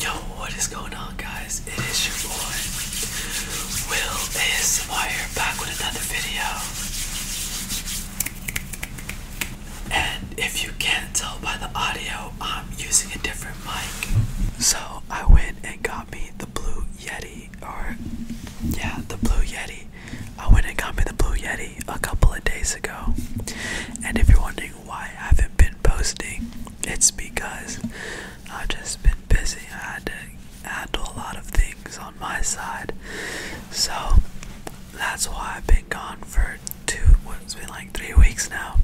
Yo, what is going on, guys? It is your boy Will ASMR back with another video. And if you can't tell by the audio, I'm using a different mic. So I went and got me the Blue Yeti, or yeah, the Blue Yeti. I went and got me the Blue Yeti a couple of days ago. And if you're wondering why I haven't been posting. It's because I've just been busy. I had to handle a lot of things on my side. So that's why I've been gone for two, what's been like three weeks now.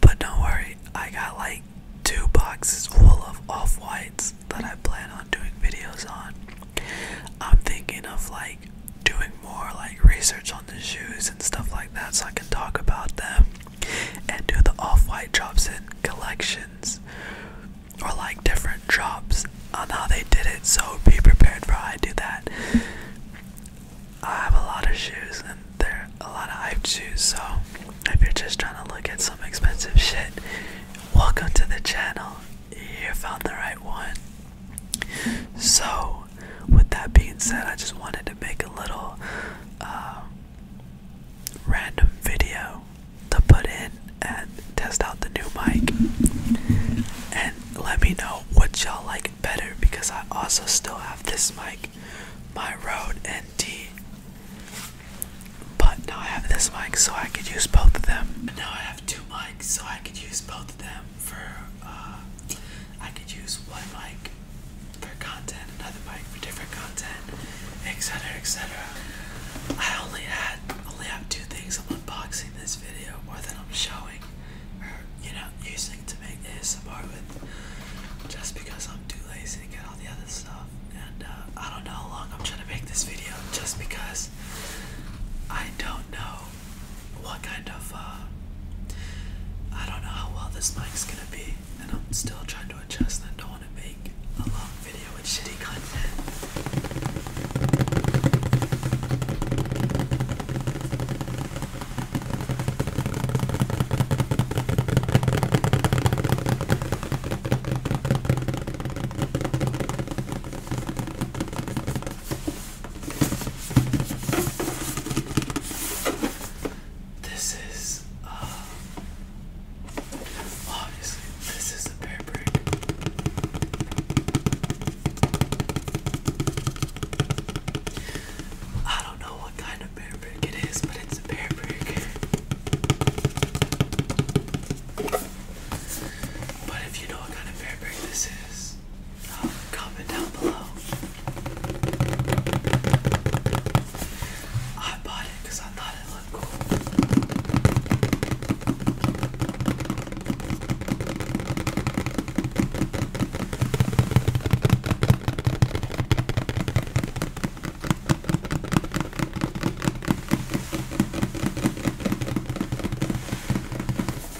But don't worry, I got like two boxes full of off whites that I plan on doing videos on. I'm thinking of like doing more like research on the shoes and stuff like that so I can talk about them and do the off-white drops and collections or like different drops on how they did it so be prepared for I do that. I have a lot of shoes and they're a lot of hype shoes so if you're just trying to look at some expensive shit welcome to the channel you found the right one so, with that being said, I just wanted to make a little um, random video to put in and test out the new mic. And let me know what y'all like better because I also still have this mic, my Rode NT. But now I have this mic so I could use both of them. Now I have two mics so I could use both of them for uh, I could use one mic for content, another mic for different content, etc. etc. I only had only have two things I'm unboxing this video or that I'm showing or you know using to make ASMR with just because I'm too lazy to get all the other stuff and uh, I don't know how long I'm trying to make this video just because I don't know what kind of uh, I don't know how well this mic's gonna be, and I'm still trying to adjust. And I don't want to make a long video with shitty content. This is uh, obviously this is a bear brick. I don't know what kind of bear it is, but it's a bear But if you know what kind of bear this is, comment down below. I bought it because I thought it looked cool.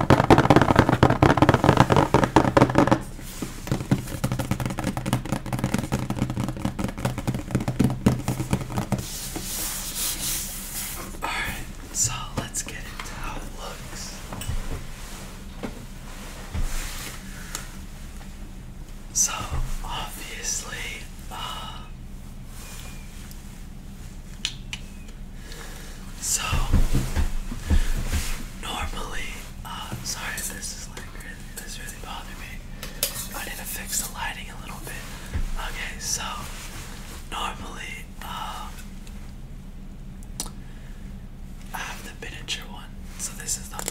Alright, so let's get into how it looks. So obviously, uh, so normally, uh, sorry, this is like really, this really bothered me. I need to fix the lighting a little bit. Okay, so normally, um, I have the miniature one. So this is the.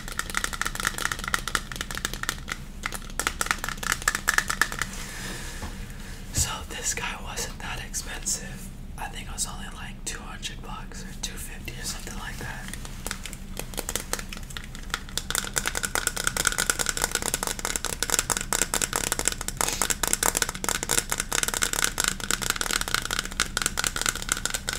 So this guy wasn't that expensive. I think it was only like 200 bucks or 250 or something like that.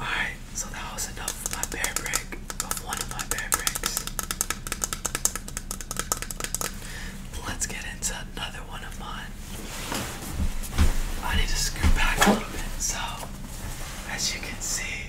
Alright, so that was enough of my bear brick, one of my bear bricks. Let's get into another one of mine. I need to scoot back a little bit, so as you can see,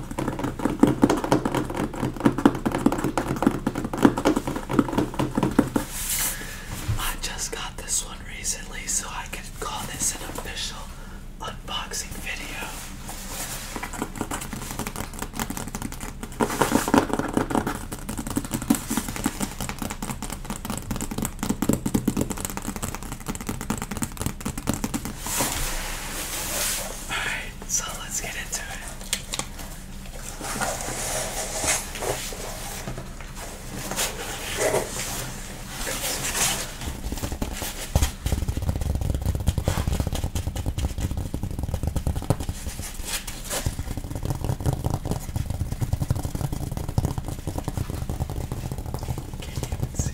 I just got this one recently, so I can call this an official unboxing video. Alright, so let's get into it. Can't see.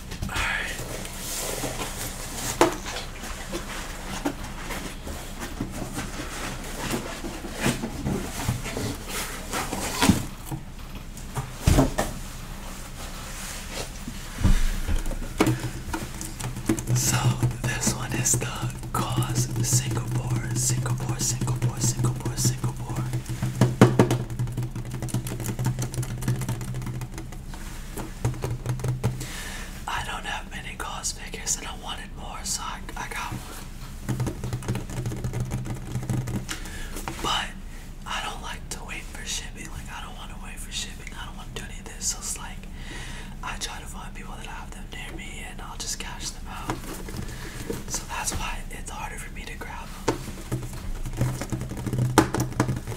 So this one is the cause Singapore, Singapore, Singapore, Singapore, Singapore. I don't have many Cause figures and I wanted more, so I, I got one. But I don't like to wait for shipping. Like, I don't want to wait for shipping. I don't want to do any of this. So it's like, I try to find people that have them near me and I'll just cash them out. So that's why it's harder for me to grab them.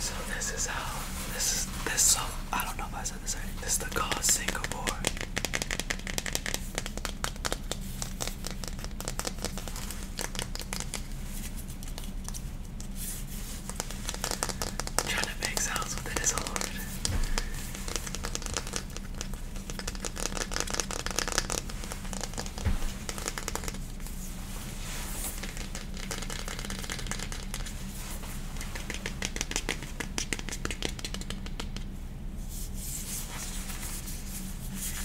So this is how this is this song. I don't know if I said this already. This is the call Singapore. I'm trying to make sounds with it is hard.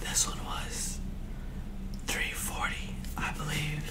This one was 340, I believe.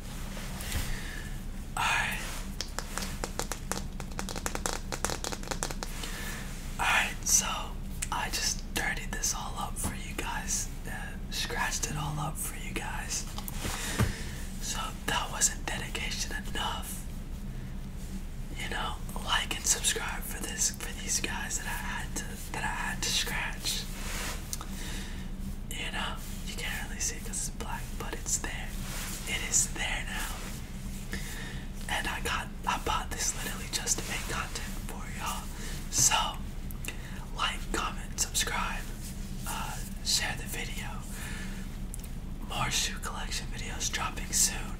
I Alright, so I just dirtied this all up for you guys, uh, scratched it all up for you guys. So that wasn't dedication enough. You know, like and subscribe for this for these guys that I had to that I had to scratch. You know, you can't really see it's black, but it's there. It is there now. And I got, I bought this literally just to make content for y'all. So, like, comment, subscribe, uh, share the video. More shoe collection videos dropping soon.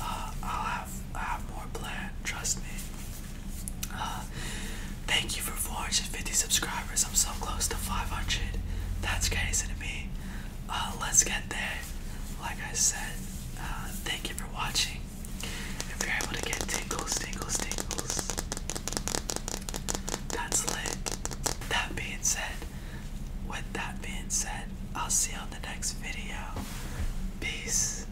Uh, I'll have, I have more planned. Trust me. thank you for 450 subscribers. I'm so close to 500. That's crazy to me. Uh, let's get there. Like I said, uh, thank you for watching. If you're able to get tingles, tingles, tingles, that's lit. That being said, with that being said, I'll see you on the next video. Peace.